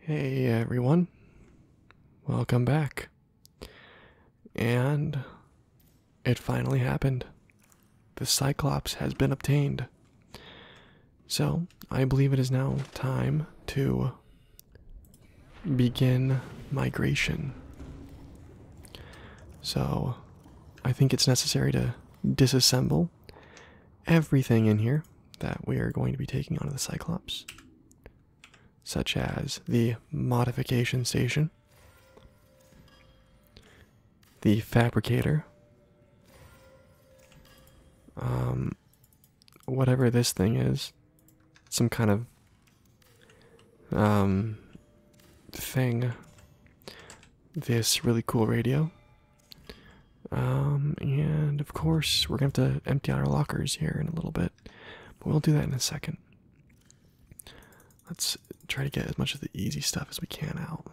Hey everyone, welcome back. And it finally happened. The Cyclops has been obtained. So, I believe it is now time to begin migration. So, I think it's necessary to disassemble everything in here that we are going to be taking onto the Cyclops, such as the modification station, the fabricator, um, whatever this thing is, some kind of um, thing this really cool radio. Um, and of course, we're gonna have to empty out our lockers here in a little bit, but we'll do that in a second. Let's try to get as much of the easy stuff as we can out.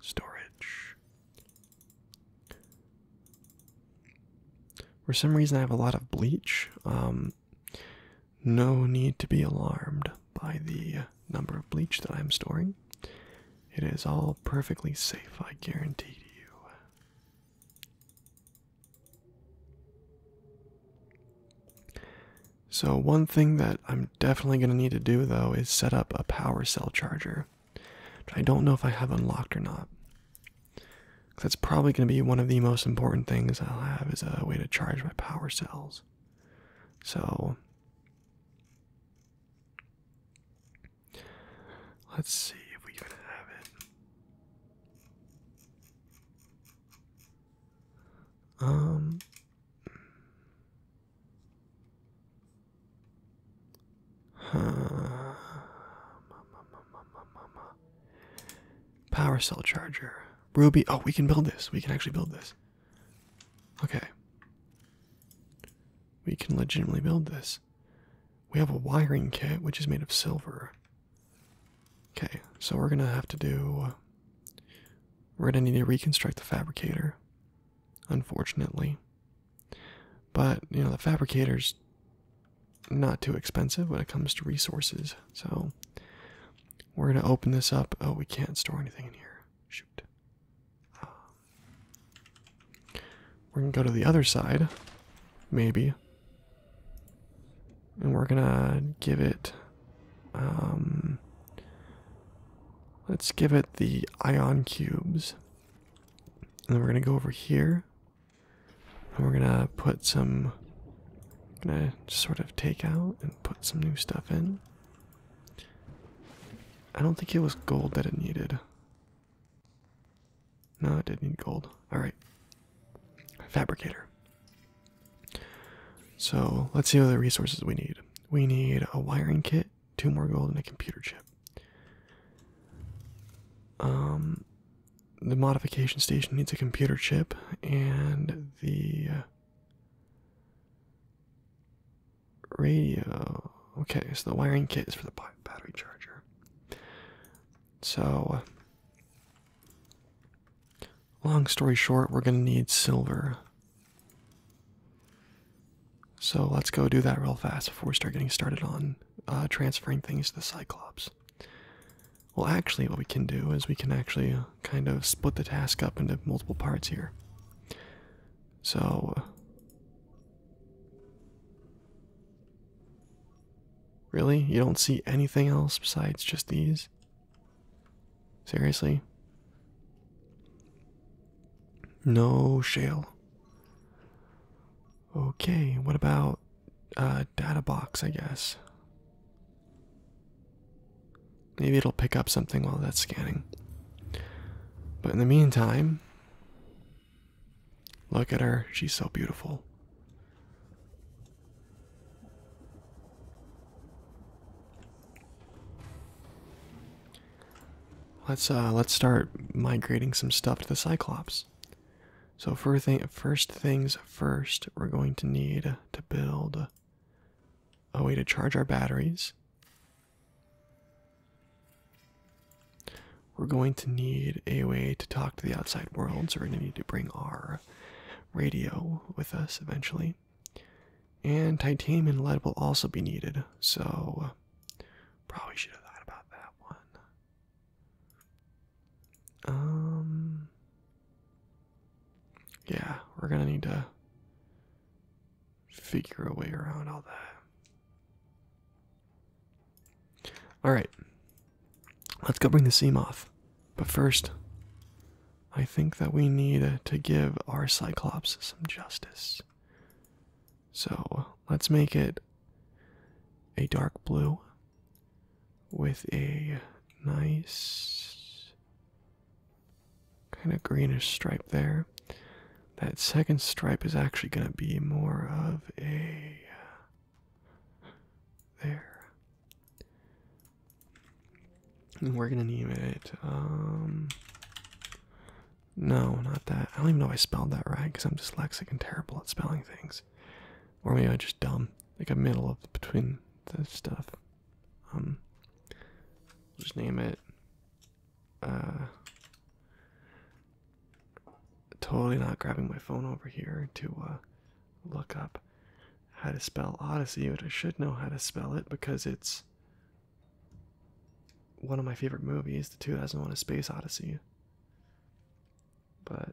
Storage. For some reason, I have a lot of bleach. Um, no need to be alarmed by the uh, number of bleach that I'm storing. It is all perfectly safe, I guarantee to you. So, one thing that I'm definitely going to need to do though is set up a power cell charger, I don't know if I have unlocked or not. That's probably going to be one of the most important things I'll have is a way to charge my power cells. So, Let's see if we can have it. Um huh. Power cell charger. Ruby. Oh, we can build this. We can actually build this. Okay. We can legitimately build this. We have a wiring kit which is made of silver. Okay, so we're gonna have to do. We're gonna need to reconstruct the fabricator, unfortunately. But, you know, the fabricator's not too expensive when it comes to resources, so we're gonna open this up. Oh, we can't store anything in here. Shoot. Um, we're gonna go to the other side, maybe. And we're gonna give it, um, let's give it the ion cubes. And then we're gonna go over here, and we're gonna put some, gonna sort of take out and put some new stuff in. I don't think it was gold that it needed. No, it did need gold. Alright. Fabricator. So let's see what the resources we need. We need a wiring kit, two more gold, and a computer chip. Um the modification station needs a computer chip and the uh, radio. Okay, so the wiring kit is for the battery charger. So, long story short, we're gonna need silver. So let's go do that real fast before we start getting started on uh, transferring things to the Cyclops. Well, actually, what we can do is we can actually kind of split the task up into multiple parts here. So. Uh, really? You don't see anything else besides just these? Seriously? No shale. Okay, what about uh data box, I guess? Maybe it'll pick up something while that's scanning. But in the meantime, look at her. She's so beautiful. Let's uh let's start migrating some stuff to the Cyclops. So for thing first things first, we're going to need to build a way to charge our batteries. We're going to need a way to talk to the outside world, so we're going to need to bring our radio with us eventually. And titanium lead will also be needed, so uh, probably should have thought about that one. Um, yeah, we're going to need to figure a way around all that. Alright. Let's go bring the seam off. But first, I think that we need to give our Cyclops some justice. So let's make it a dark blue with a nice kind of greenish stripe there. That second stripe is actually going to be more of a uh, there. And we're going to name it um no, not that. I don't even know if I spelled that right because I'm dyslexic and terrible at spelling things. Or maybe i just dumb. Like a middle of between the stuff. Um, just name it uh, totally not grabbing my phone over here to uh, look up how to spell Odyssey, but I should know how to spell it because it's one of my favorite movies, the 2001 A Space Odyssey. But.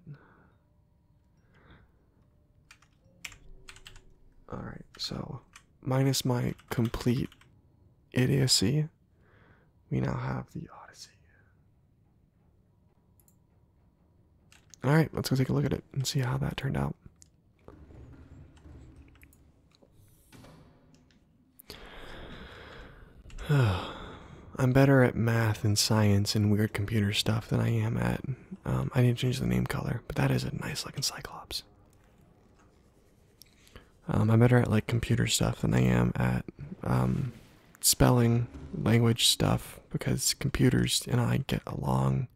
Alright, so minus my complete idiocy, we now have the Odyssey. All right, let's go take a look at it and see how that turned out. I'm better at math and science and weird computer stuff than I am at. Um, I need to change the name color, but that is a nice looking Cyclops. Um, I'm better at like computer stuff than I am at um, spelling, language stuff, because computers and I get along,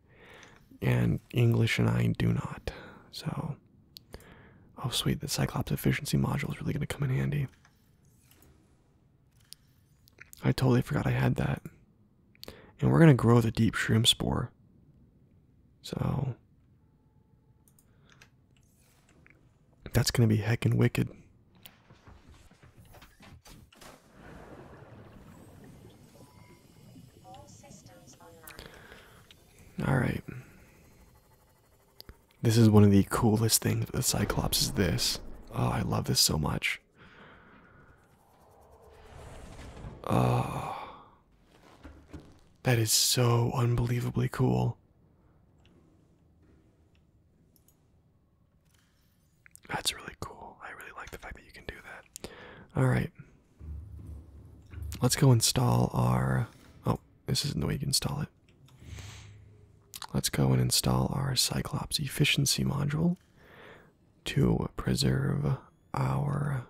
and English and I do not. So, oh sweet, the Cyclops efficiency module is really going to come in handy. I totally forgot I had that. And we're going to grow the deep shrimp spore. So, that's gonna be heckin' wicked. Alright. This is one of the coolest things the Cyclops is this. Oh, I love this so much. Oh. That is so unbelievably cool. That's really cool. I really like the fact that you can do that. Alright. Let's go install our. Oh, this isn't the way you install it. Let's go and install our Cyclops efficiency module to preserve our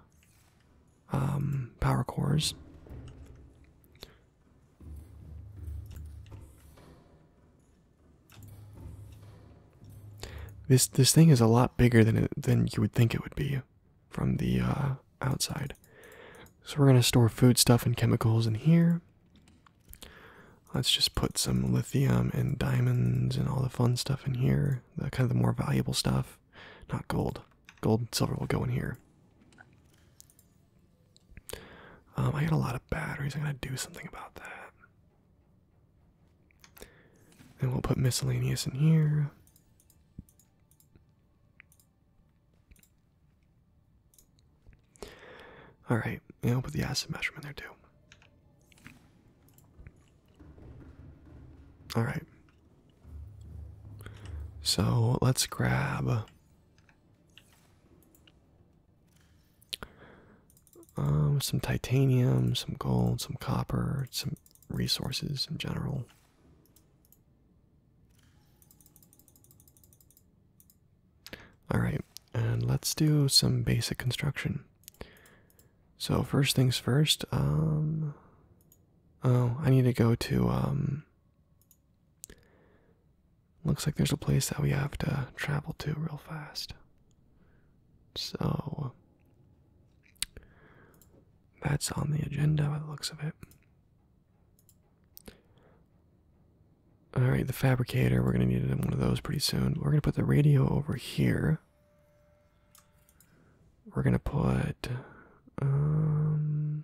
um, power cores. This this thing is a lot bigger than than you would think it would be from the uh, outside. So we're gonna store food stuff and chemicals in here. Let's just put some lithium and diamonds and all the fun stuff in here, the kind of the more valuable stuff. Not gold. Gold and silver will go in here. Um, I got a lot of batteries. I'm going to do something about that. And we'll put miscellaneous in here. Alright, and we'll put the acid measurement there too. Alright, so let's grab. Um, some titanium, some gold, some copper, some resources in general. All right, and let's do some basic construction. So first things first, um, Oh, I need to go to, um, Looks like there's a place that we have to travel to real fast. So. That's on the agenda by the looks of it. Alright, the fabricator, we're gonna need one of those pretty soon. We're gonna put the radio over here. We're gonna put um,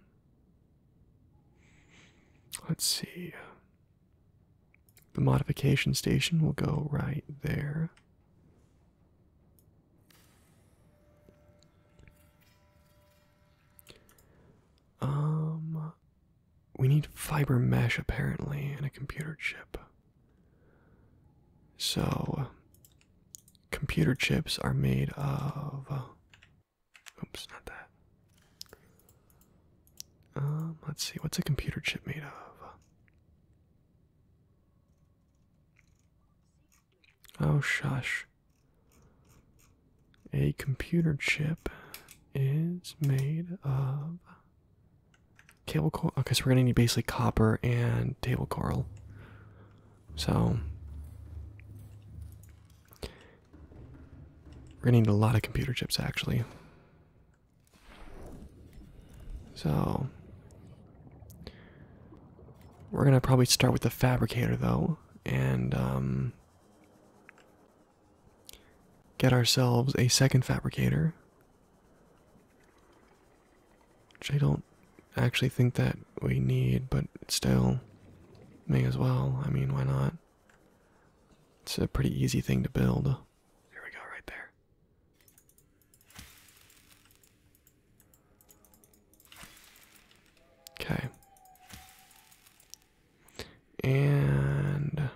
let's see. The modification station will go right there. Um we need fiber mesh apparently and a computer chip. So computer chips are made of. Uh, oops, not that. Um, let's see, what's a computer chip made of? Oh, shush. A computer chip is made of Table coral. Okay, so we're gonna need basically copper and table coral. So we're gonna need a lot of computer chips actually. So we're gonna probably start with the fabricator though, and um, get ourselves a second fabricator which I don't actually think that we need, but still, may as well. I mean, why not? It's a pretty easy thing to build. There we go, right there. Okay. And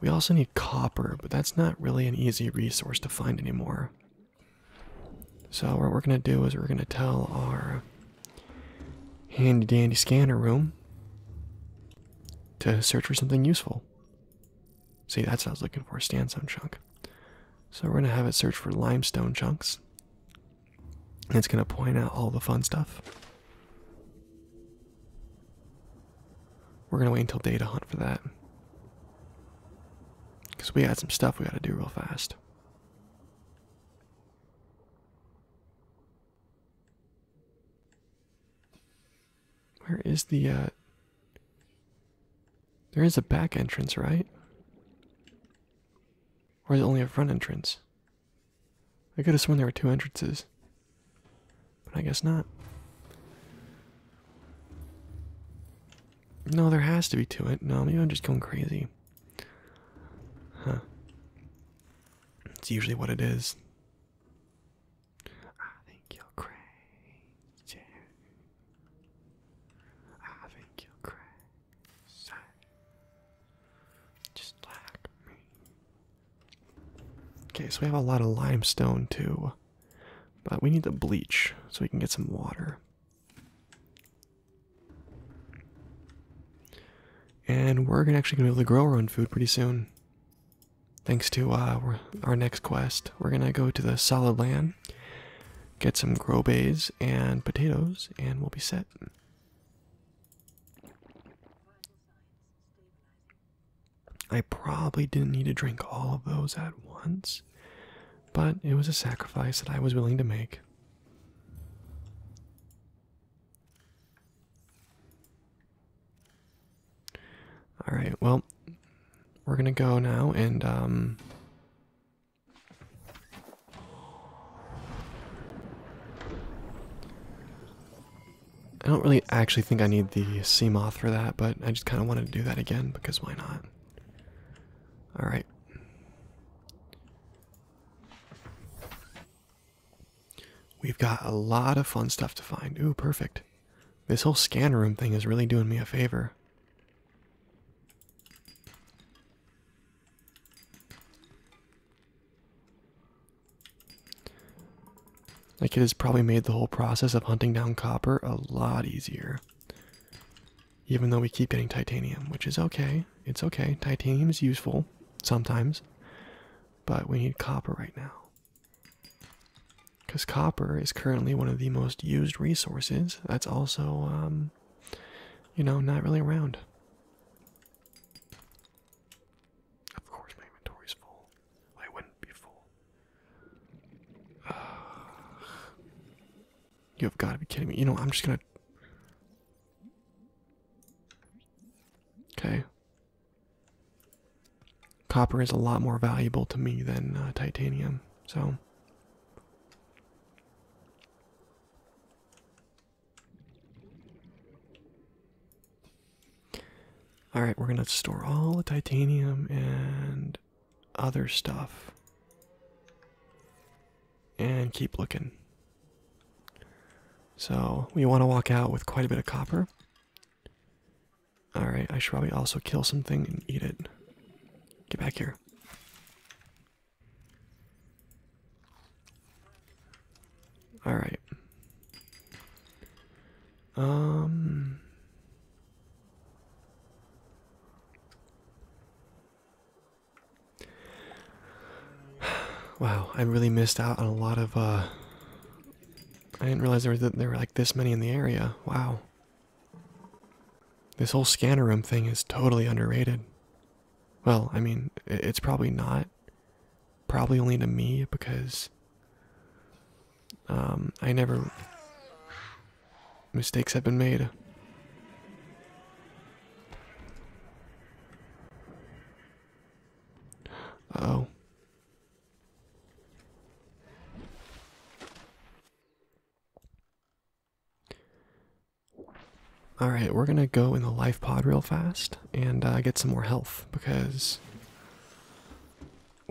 we also need copper, but that's not really an easy resource to find anymore. So what we're gonna do is we're gonna tell our handy dandy scanner room to search for something useful. See, that's what I was looking for, sandstone chunk. So we're gonna have it search for limestone chunks. And it's gonna point out all the fun stuff. We're gonna wait until data hunt for that. Because we had some stuff we gotta do real fast. Where is the uh, There is a back entrance, right? Or is it only a front entrance? I could have sworn there were two entrances. But I guess not. No, there has to be to it. No, I'm just going crazy. Huh. It's usually what it is. Okay, so we have a lot of limestone too. But we need to bleach so we can get some water. And we're actually going to be able to grow our own food pretty soon. Thanks to uh, our next quest, we're going to go to the solid land, get some grow and potatoes, and we'll be set. I probably didn't need to drink all of those at once, but it was a sacrifice that I was willing to make. All right, well, we're gonna go now and, um, I don't really actually think I need the sea moth for that, but I just kind of wanted to do that again because why not? All right. We've got a lot of fun stuff to find. Ooh, perfect. This whole scan room thing is really doing me a favor. Like, it has probably made the whole process of hunting down copper a lot easier even though we keep getting titanium, which is okay. It's okay. Titanium is useful sometimes, but we need copper right now. Because copper is currently one of the most used resources that's also, um, you know, not really around. Of course, my inventory's full. I wouldn't be full. You have got to be kidding me. You know, I'm just going to. Okay. Copper is a lot more valuable to me than uh, titanium, so. Alright, we're going to store all the titanium and other stuff and keep looking. So we want to walk out with quite a bit of copper. Alright, I should probably also kill something and eat it. Get back here. Alright. Um. Wow, I really missed out on a lot of, uh, I didn't realize there were, there were like this many in the area. Wow. This whole scanner room thing is totally underrated. Well, I mean, it's probably not. Probably only to me because um, I never mistakes have been made. oh. All right, we're gonna go in the life pod real fast and uh, get some more health because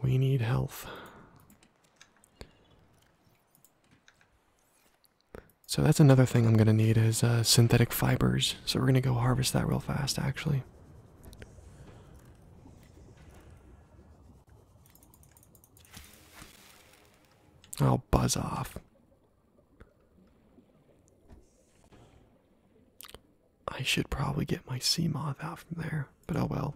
we need health. So that's another thing I'm going to need is uh, synthetic fibers. So we're going to go harvest that real fast, actually. I'll buzz off. I should probably get my sea moth out from there, but oh well.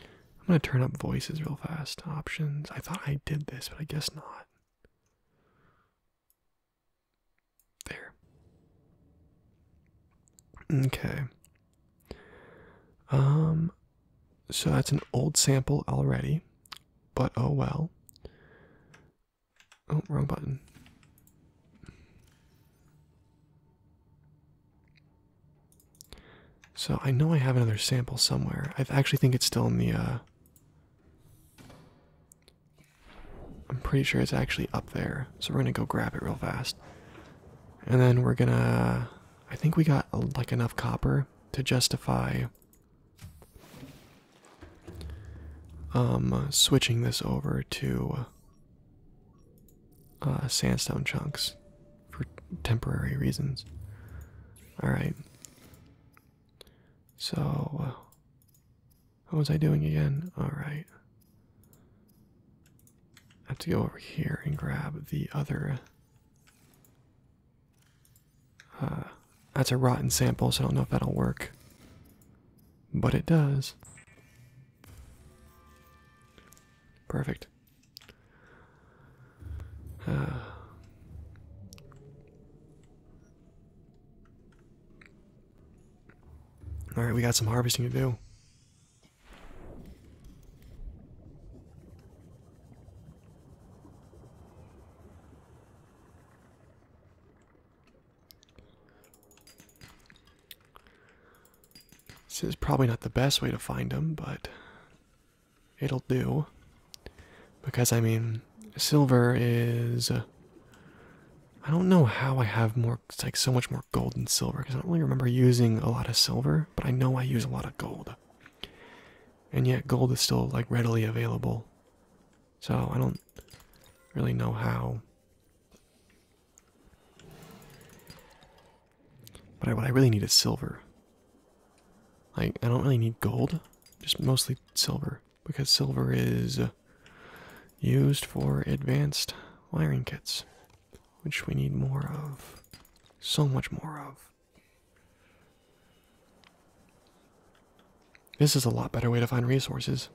I'm gonna turn up voices real fast. Options. I thought I did this, but I guess not. There. Okay. Um so that's an old sample already, but oh well. Oh, wrong button. So I know I have another sample somewhere. I actually think it's still in the. Uh, I'm pretty sure it's actually up there. So we're gonna go grab it real fast, and then we're gonna. I think we got uh, like enough copper to justify um switching this over to uh, sandstone chunks for temporary reasons. All right. So, uh, what was I doing again? All right. I have to go over here and grab the other. Uh, that's a rotten sample, so I don't know if that'll work. But it does. Perfect. Uh. All right, we got some harvesting to do. This is probably not the best way to find them, but it'll do. Because, I mean, silver is. Uh, I don't know how I have more, it's like so much more gold than silver, because I don't really remember using a lot of silver, but I know I use a lot of gold. And yet, gold is still, like, readily available. So, I don't really know how but what I really need is silver. Like, I don't really need gold, just mostly silver. Because silver is used for advanced wiring kits, which we need more of. So much more of. This is a lot better way to find resources.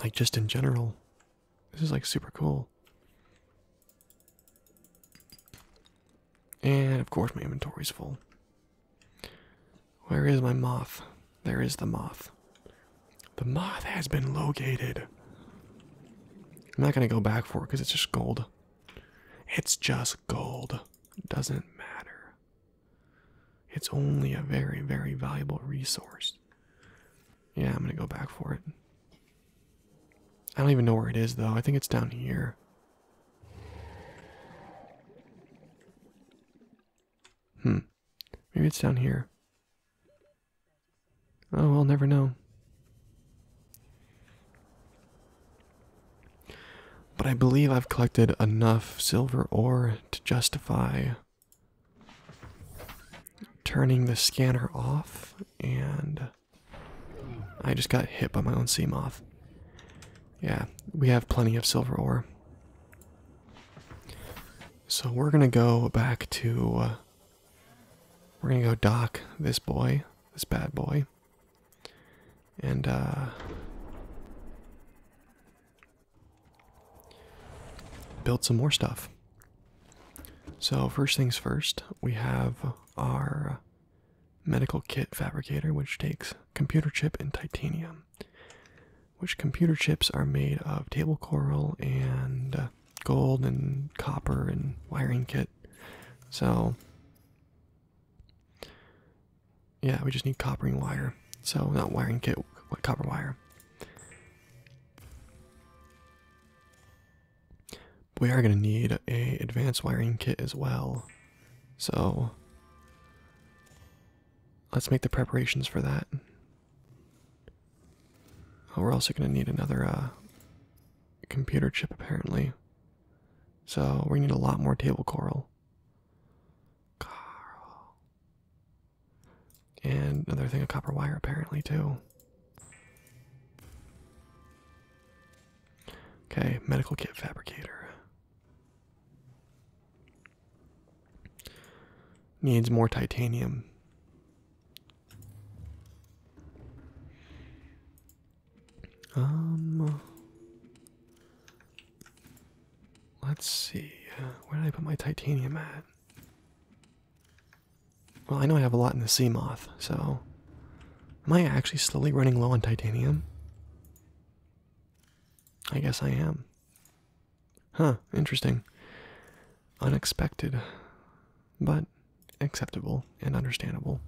Like, just in general, this is like super cool. And of course, my inventory's full. Where is my moth? There is the moth. The moth has been located. I'm not gonna go back for it because it's just gold. It's just gold. Doesn't matter. It's only a very, very valuable resource. Yeah, I'm gonna go back for it. I don't even know where it is though. I think it's down here. Hmm. Maybe it's down here. Oh, I'll never know. But I believe I've collected enough silver ore to justify turning the scanner off, and I just got hit by my own sea moth. Yeah, we have plenty of silver ore. So we're gonna go back to. Uh, we're gonna go dock this boy, this bad boy. And, uh build some more stuff. So, first things first, we have our medical kit fabricator, which takes computer chip and titanium. Which computer chips are made of table coral and gold and copper and wiring kit. So, yeah, we just need copper and wire. So, not wiring kit, copper wire. We are going to need a advanced wiring kit as well. So let's make the preparations for that. Oh, we're also going to need another uh, computer chip apparently. So we need a lot more table coral. And another thing a copper wire, apparently, too. Okay, medical kit fabricator. Needs more titanium. Um, let's see. Where did I put my titanium at? Well, I know I have a lot in the sea moth, so. Am I actually slowly running low on titanium? I guess I am. Huh, interesting. Unexpected, but acceptable and understandable.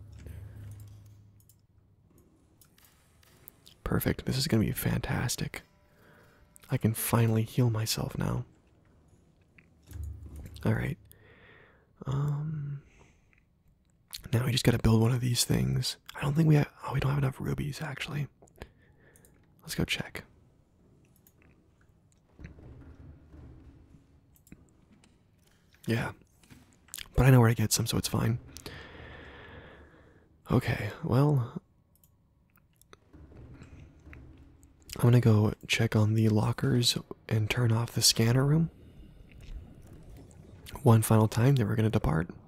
Perfect. This is going to be fantastic. I can finally heal myself now. Alright. Um now we just gotta build one of these things. I don't think we have oh we don't have enough rubies actually. Let's go check. Yeah. But I know where I get some, so it's fine. Okay, well, I'm gonna go check on the lockers and turn off the scanner room. One final time, then we're gonna depart.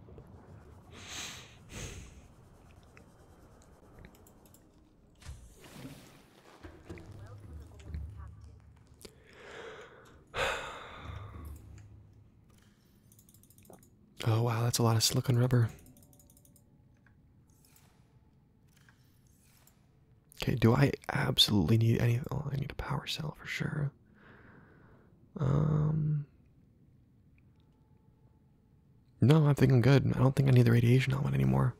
Oh wow, that's a lot of silicon rubber. Okay, do I absolutely need anything? Oh, I need a power cell for sure. Um, no, I think I'm good. I don't think I need the radiation element anymore.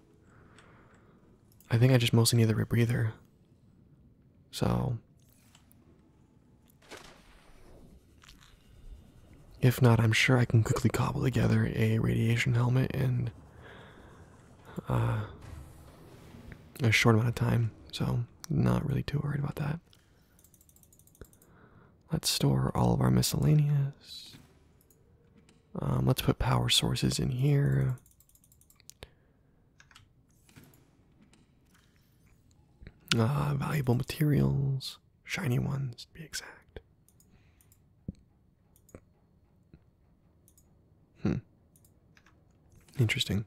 I think I just mostly need the rebreather. So, if not, I'm sure I can quickly cobble together a radiation helmet in uh, a short amount of time, so not really too worried about that. Let's store all of our miscellaneous. Um, let's put power sources in here. Uh, valuable materials. Shiny ones, to be exact. Hmm. Interesting.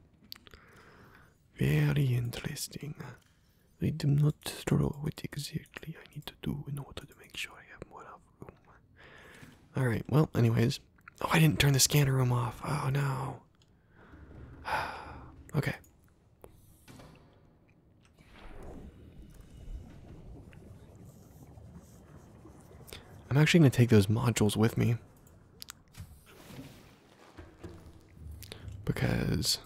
Very interesting. I do not know what exactly I need to do in order to make sure I have more room. Alright, well, anyways. Oh, I didn't turn the scanner room off. Oh, no. okay, I'm actually going to take those modules with me. Because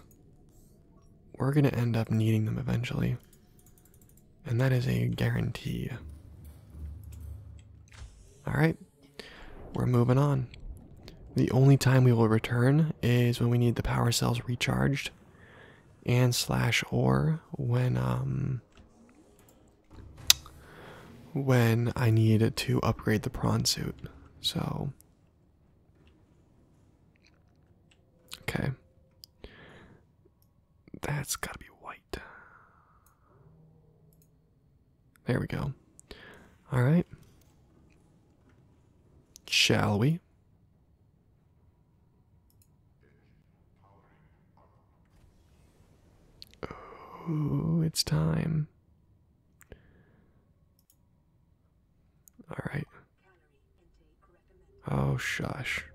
we're going to end up needing them eventually. And that is a guarantee. Alright, we're moving on. The only time we will return is when we need the power cells recharged and slash or when um when I need to upgrade the prawn suit. So Okay. That's gotta be white. There we go. Alright. Shall we? Oh, it's time. All right. Oh, shush.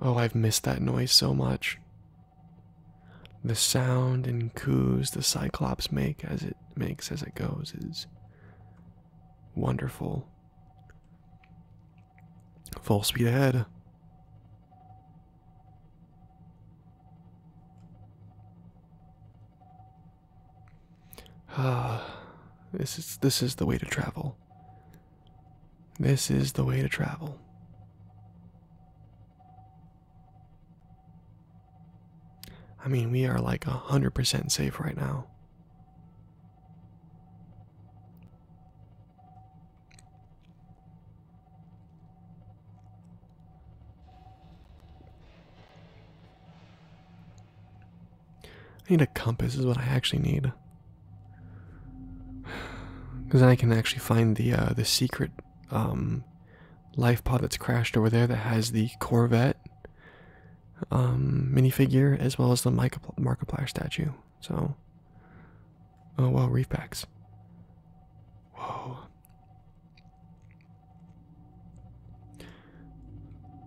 Oh, I've missed that noise so much. The sound and coos the Cyclops make as it makes as it goes is wonderful. Full speed ahead. Ah, this is this is the way to travel. This is the way to travel. I mean, we are like 100% safe right now. I need a compass, is what I actually need. Because then I can actually find the uh, the secret um, life pod that's crashed over there that has the Corvette um, minifigure as well as the Markiplier statue. So, oh well, reef packs. Whoa.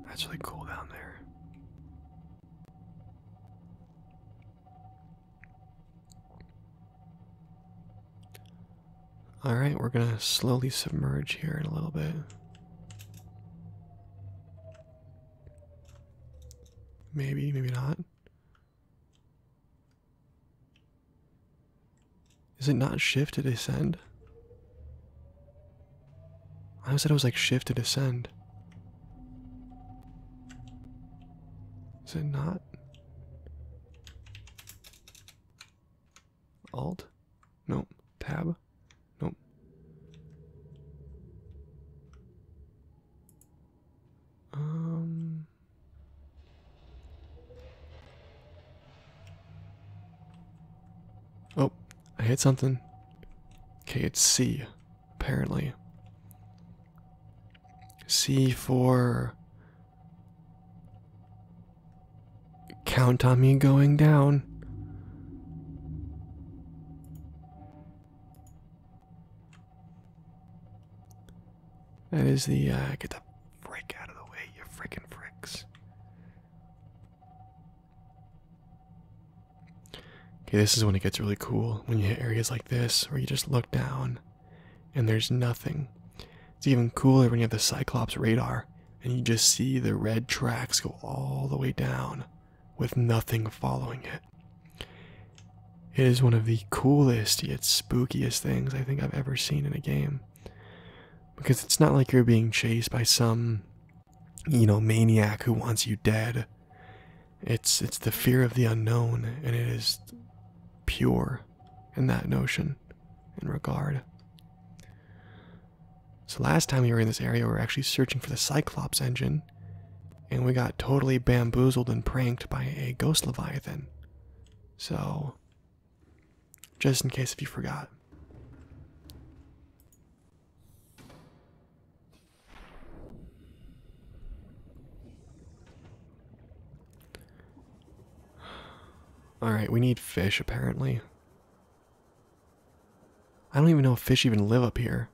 That's really cool down there. All right, we're going to slowly submerge here in a little bit. Maybe, maybe not. Is it not shift to descend? I said it was like shift to descend. Is it not? Alt? Nope. Tab? Nope. Um. Oh, I hit something. Okay, it's C, apparently. C for Count on me going down. That is the, uh, get the frick out of the way, you frickin' fricks. Okay, this is when it gets really cool, when you hit areas like this, where you just look down and there's nothing. It's even cooler when you have the Cyclops radar and you just see the red tracks go all the way down with nothing following it. It is one of the coolest yet spookiest things I think I've ever seen in a game. Because it's not like you're being chased by some, you know, maniac who wants you dead. It's it's the fear of the unknown, and it is pure in that notion, in regard. So last time we were in this area, we were actually searching for the Cyclops engine, and we got totally bamboozled and pranked by a ghost leviathan. So, just in case if you forgot. All right, we need fish apparently. I don't even know if fish even live up here.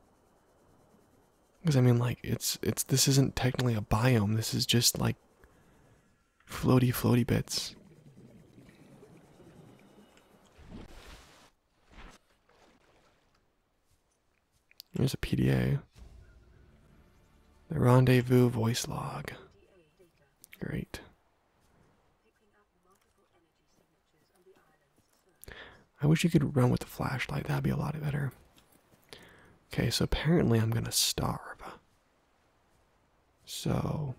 Because I mean, like, it's it's this isn't technically a biome. This is just like floaty, floaty bits. There's a PDA. The rendezvous voice log. Great. I wish you could run with the flashlight. That'd be a lot better. Okay, so apparently I'm gonna starve. So,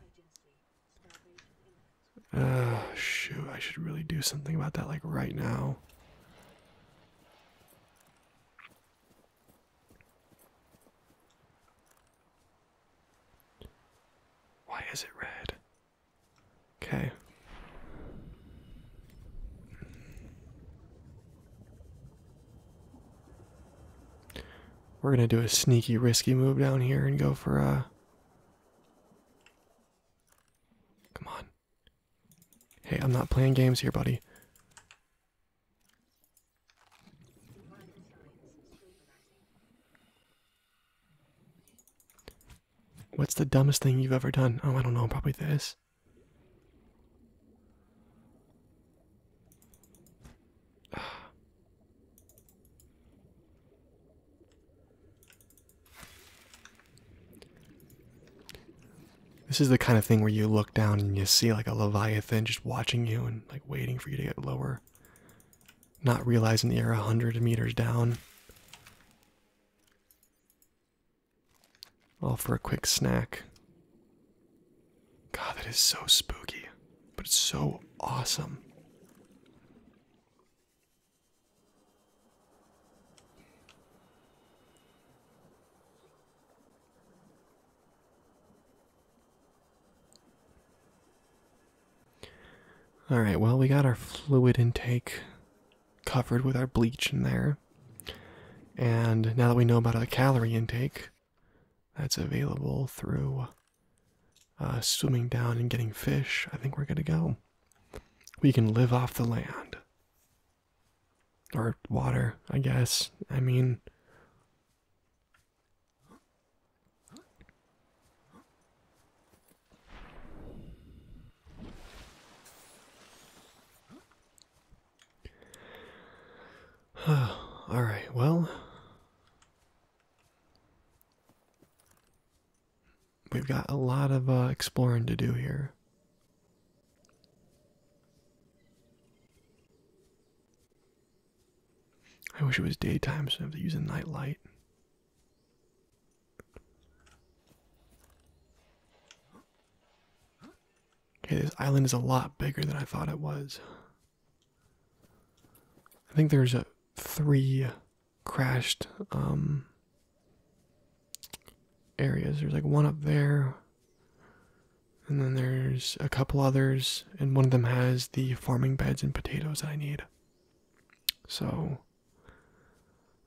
uh, shoot, I should really do something about that, like right now. Why is it red? Okay. We're gonna do a sneaky, risky move down here and go for a. Uh, come on. Hey, I'm not playing games here, buddy. What's the dumbest thing you've ever done? Oh, I don't know, probably this. This is the kind of thing where you look down and you see like a leviathan just watching you and like waiting for you to get lower not realizing you're 100 meters down. All for a quick snack. God, that is so spooky, but it's so awesome. All right, well, we got our fluid intake covered with our bleach in there. And now that we know about our calorie intake, that's available through uh, swimming down and getting fish, I think we're good to go. We can live off the land. Or water, I guess. I mean, All right, well, we've got a lot of uh, exploring to do here. I wish it was daytime so I have to use a night light. Okay, this island is a lot bigger than I thought it was. I think there's a three crashed um areas. There's like one up there. And then there's a couple others, and one of them has the farming beds and potatoes I need. So,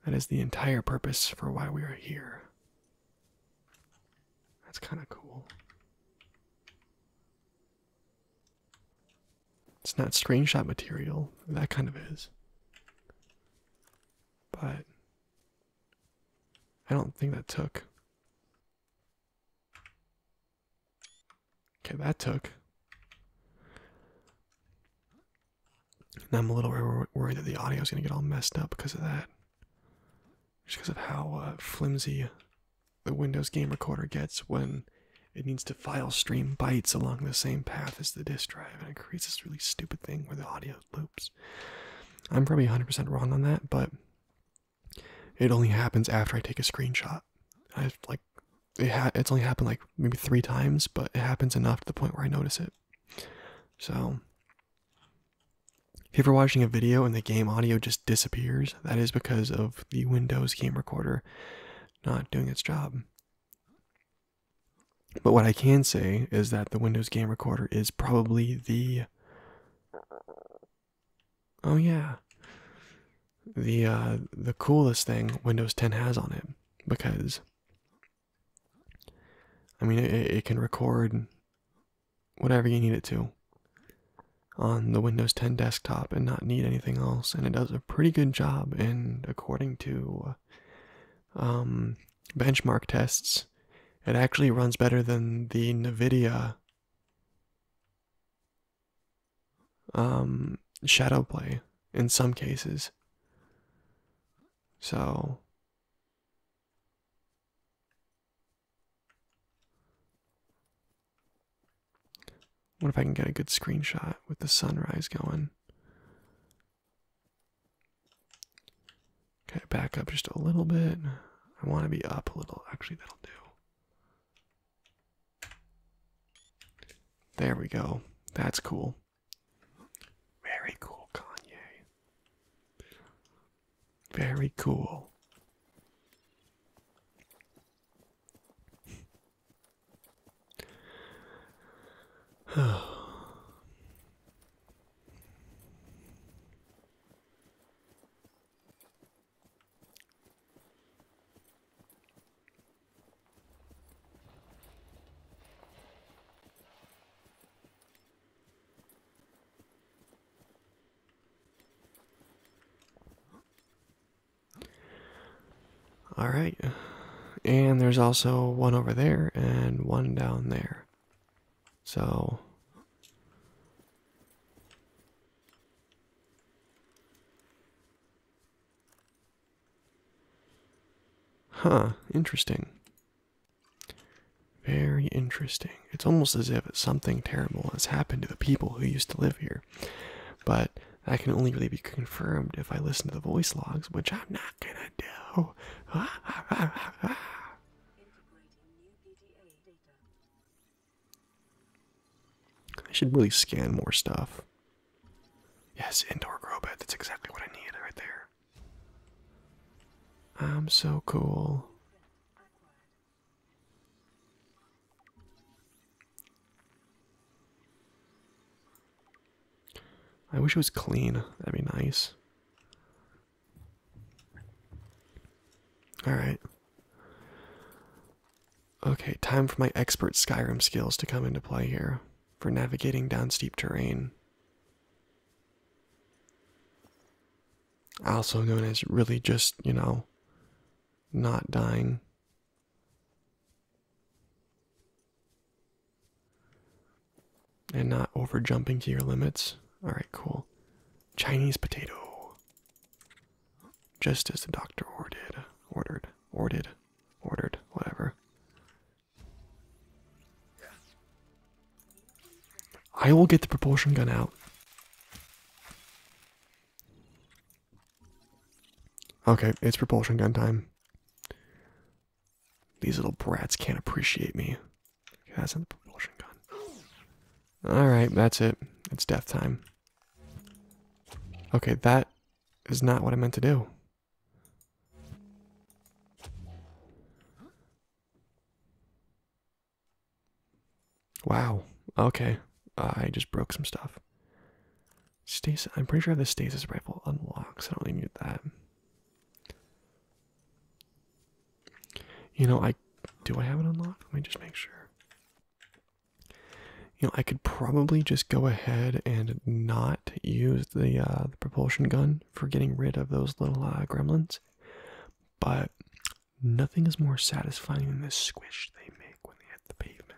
that is the entire purpose for why we are here. That's kind of cool. It's not screenshot material, that kind of is. But I don't think that took Okay, that took. I'm a little worried that the audio is going to get all messed up because of that. Just because of how uh, flimsy the Windows game recorder gets when it needs to file stream bytes along the same path as the disk drive, and it creates this really stupid thing where the audio loops. I'm probably 100% wrong on that, but it only happens after I take a screenshot. I've like it it's only happened like maybe three times, but it happens enough to the point where I notice it. So, if you're watching a video and the game audio just disappears, that is because of the Windows game recorder not doing its job. But what I can say is that the Windows game recorder is probably the Oh yeah. The uh, the coolest thing Windows 10 has on it because I mean it, can record whatever you need it to on the Windows 10 desktop and not need anything else and it does a pretty good job and according to uh, um, benchmark tests it actually runs better than the Nvidia um, shadow play in some cases. So. What if I can get a good screenshot with the sunrise going? Okay, back up just a little bit. I want to be up a little. Actually, that'll do. There we go. That's cool. Very cool, Kanye. Very cool. All right, and there's also one over there and one down there. So Huh, interesting. Very interesting. It's almost as if something terrible has happened to the people who used to live here. But that can only really be confirmed if I listen to the voice logs, which I'm not gonna do. I should really scan more stuff. Yes, indoor grow bed. That's exactly what I need right there. I'm so cool. I wish it was clean. That'd be nice. Alright. Okay, time for my expert Skyrim skills to come into play here for navigating down steep terrain. Also known as really just, you know, not dying. And not over jumping to your limits. Alright, cool. Chinese potato just as the doctor ordered, ordered, ordered, ordered, whatever. I will get the propulsion gun out. Okay, it's propulsion gun time. These little brats can't appreciate me. Okay, that's not the propulsion gun. Alright, that's it. It's death time. Okay, that is not what I meant to do. Wow. Okay. I just broke some stuff. Stasis. I'm pretty sure the stasis rifle unlocks. I don't really need that. You know, I do I have it unlocked? Let me just make sure. You know, I could probably just go ahead and not use the, uh, propulsion gun for getting rid of those little uh, gremlins, but nothing is more satisfying than the squish they make when they hit the pavement.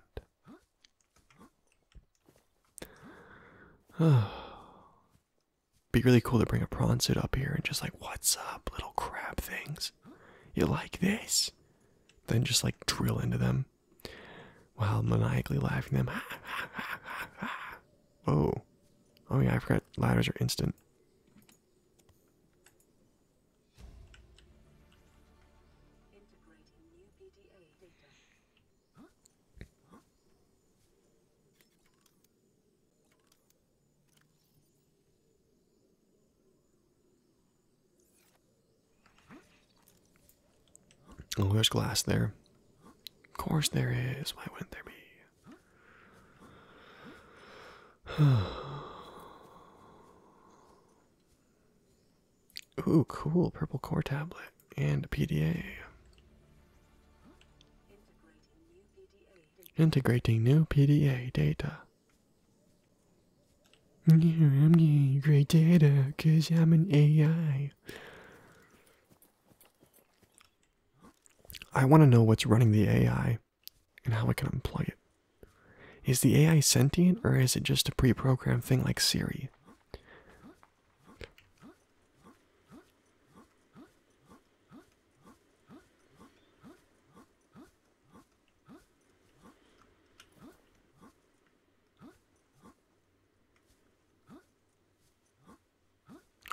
Be really cool to bring a prawn suit up here and just like, what's up, little crab things? You like this? Then just like drill into them while maniacally laughing them. oh, oh yeah, I forgot ladders are instant. Oh, there's glass there. Of course there is. Why wouldn't there be? Ooh, cool. Purple core tablet and a PDA. Integrating new PDA data. I'm getting great data because I'm an AI. I want to know what's running the AI and how I can unplug it. Is the AI sentient or is it just a pre programmed thing like Siri?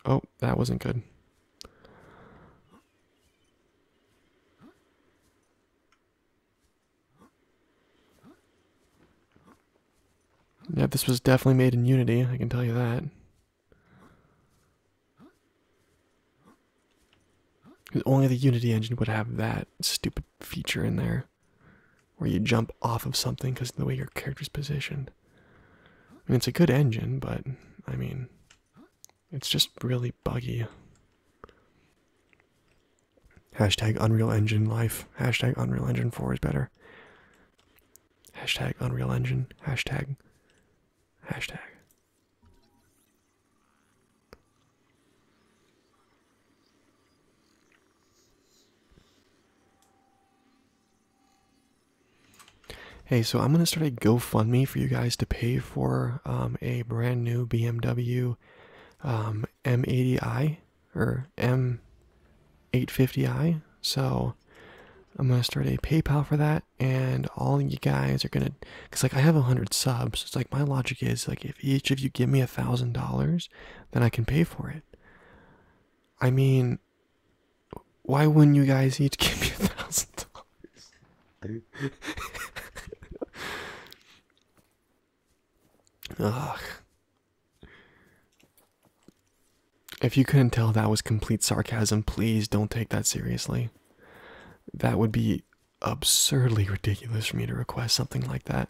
Oh, that wasn't good. Yeah, this was definitely made in Unity, I can tell you that. Only the Unity engine would have that stupid feature in there where you jump off of something because of the way your character's positioned. I mean, it's a good engine, but I mean, it's just really buggy. Hashtag Unreal Engine life. Hashtag Unreal Engine 4 is better. Hashtag Unreal Engine. Hashtag. Hashtag. Hey, so I'm gonna start a GoFundMe for you guys to pay for um, a brand new BMW M80i um, or M850i. So I'm gonna start a PayPal for that, and all you guys are gonna, cause like I have a hundred subs. It's like my logic is like if each of you give me a thousand dollars then I can pay for it. I mean, why wouldn't you guys each give me a $1,000? Ugh. If you couldn't tell that was complete sarcasm, please don't take that seriously. That would be absurdly ridiculous for me to request something like that.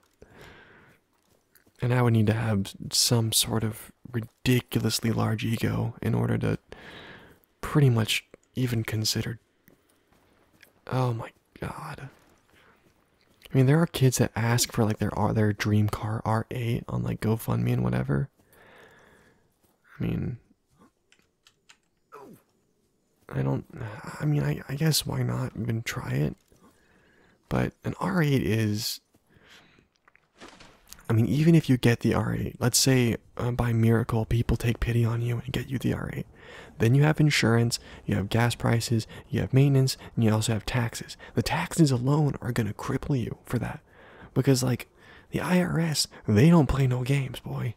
And I would need to have some sort of ridiculously large ego in order to pretty much even consider. Oh my god. I mean, there are kids that ask for like their uh, their dream car R8 on like GoFundMe and whatever. I mean, I don't, I mean, I, guess why not even try it? But an R8 is, I mean, even if you get the R8, let's say uh, by miracle people take pity on you and get you the R8, then you have insurance, you have gas prices, you have maintenance, and you also have taxes. The taxes alone are going to cripple you for that. Because, like, the IRS, they don't play no games, boy.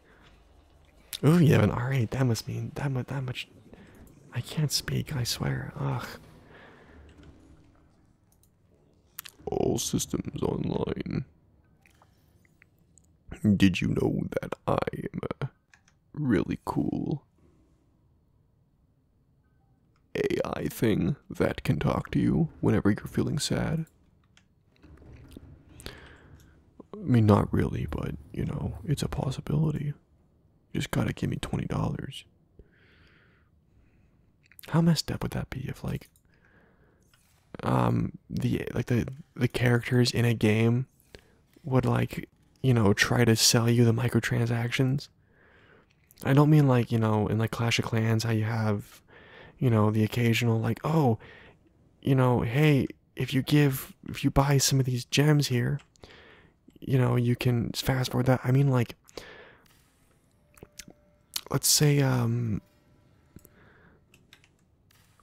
Oh, you have an R8. That must mean that much I can't speak, I swear. Ugh. All systems online. Did you know that I am uh, really cool? AI thing that can talk to you whenever you're feeling sad. I mean, not really, but you know, it's a possibility just gotta give me twenty dollars. How messed up would that be if like um the like the the characters in a game would like you know try to sell you the microtransactions i don't mean like you know in like clash of clans how you have you know the occasional like oh you know hey if you give if you buy some of these gems here you know you can fast forward that i mean like let's say um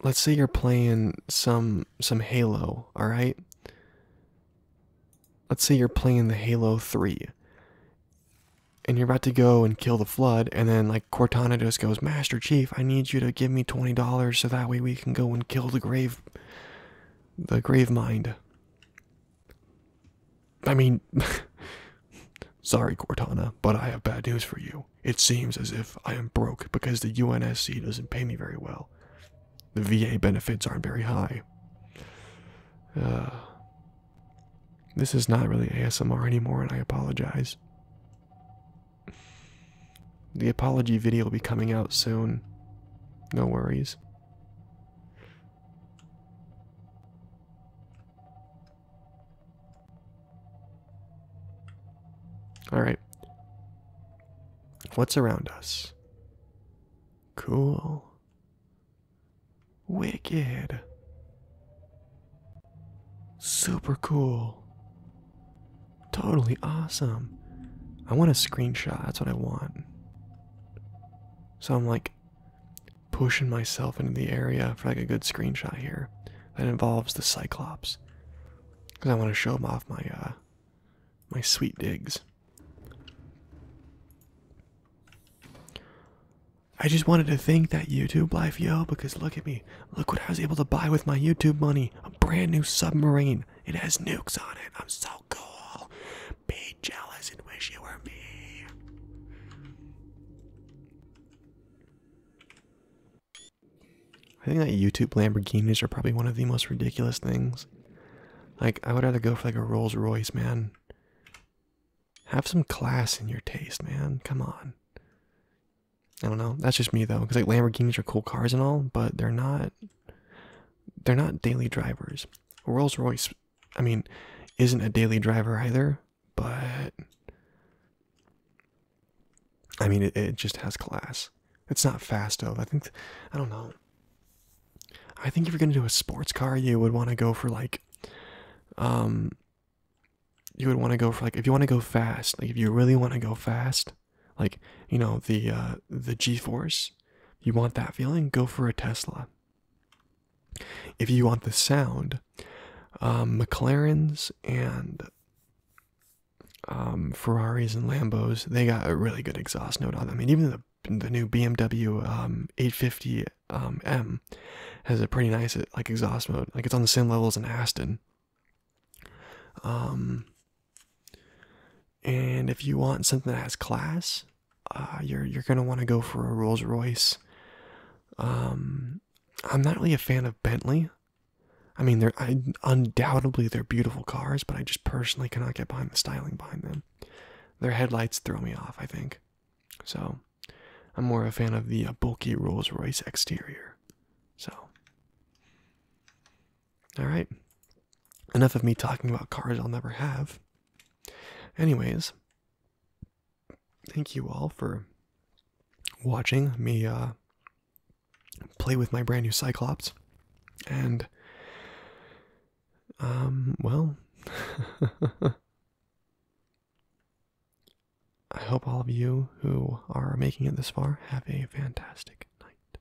let's say you're playing some some halo all right let's say you're playing the halo 3 and you're about to go and kill the flood and then like cortana just goes master chief i need you to give me $20 so that way we can go and kill the grave the grave mind. I mean, sorry, Cortana, but I have bad news for you. It seems as if I am broke because the UNSC doesn't pay me very well. The VA benefits aren't very high. Uh, this is not really ASMR anymore, and I apologize. The apology video will be coming out soon. No worries. Alright. What's around us? Cool. Wicked. Super cool. Totally awesome. I want a screenshot. That's what I want. So I'm like pushing myself into the area for like a good screenshot here that involves the Cyclops. Because I want to show them off my uh, my sweet digs. I just wanted to think that YouTube life, yo, because look at me. Look what I was able to buy with my YouTube money. A brand new submarine. It has nukes on it. I'm so cool. Be jealous and wish you were me. I think that YouTube Lamborghinis are probably one of the most ridiculous things. Like, I would rather go for like a Rolls Royce, man. Have some class in your taste, man. Come on. I don't know. That's just me though, because like Lamborghinis are cool cars and all, but they're not they're not daily drivers. Rolls Royce, I mean, isn't a daily driver either, but I mean, it, just has class. It's not fast though. I think, I don't know. I think if you're gonna do a sports car, you would want to go for like, um, you would want to go for like if you want to go fast, like if you really want to go fast, like you know the uh, the g-force you want that feeling go for a tesla if you want the sound um, mclaren's and um, ferraris and lambos they got a really good exhaust note on them I mean, even the, the new bmw um, 850 um, m has a pretty nice like exhaust mode like it's on the same level as an aston um and if you want something that has class, uh, you're you're gonna want to go for a Rolls Royce. Um, I'm not really a fan of Bentley. I mean, they're undoubtedly they're beautiful cars, but I just personally cannot get behind the styling behind them. Their headlights throw me off. I think, so I'm more a fan of the uh, bulky Rolls Royce exterior. So all right. Enough of me talking about cars I'll never have. Anyways, thank you all for watching me uh, play with my brand new Cyclops. And, um, well, I hope all of you who are making it this far have a fantastic night.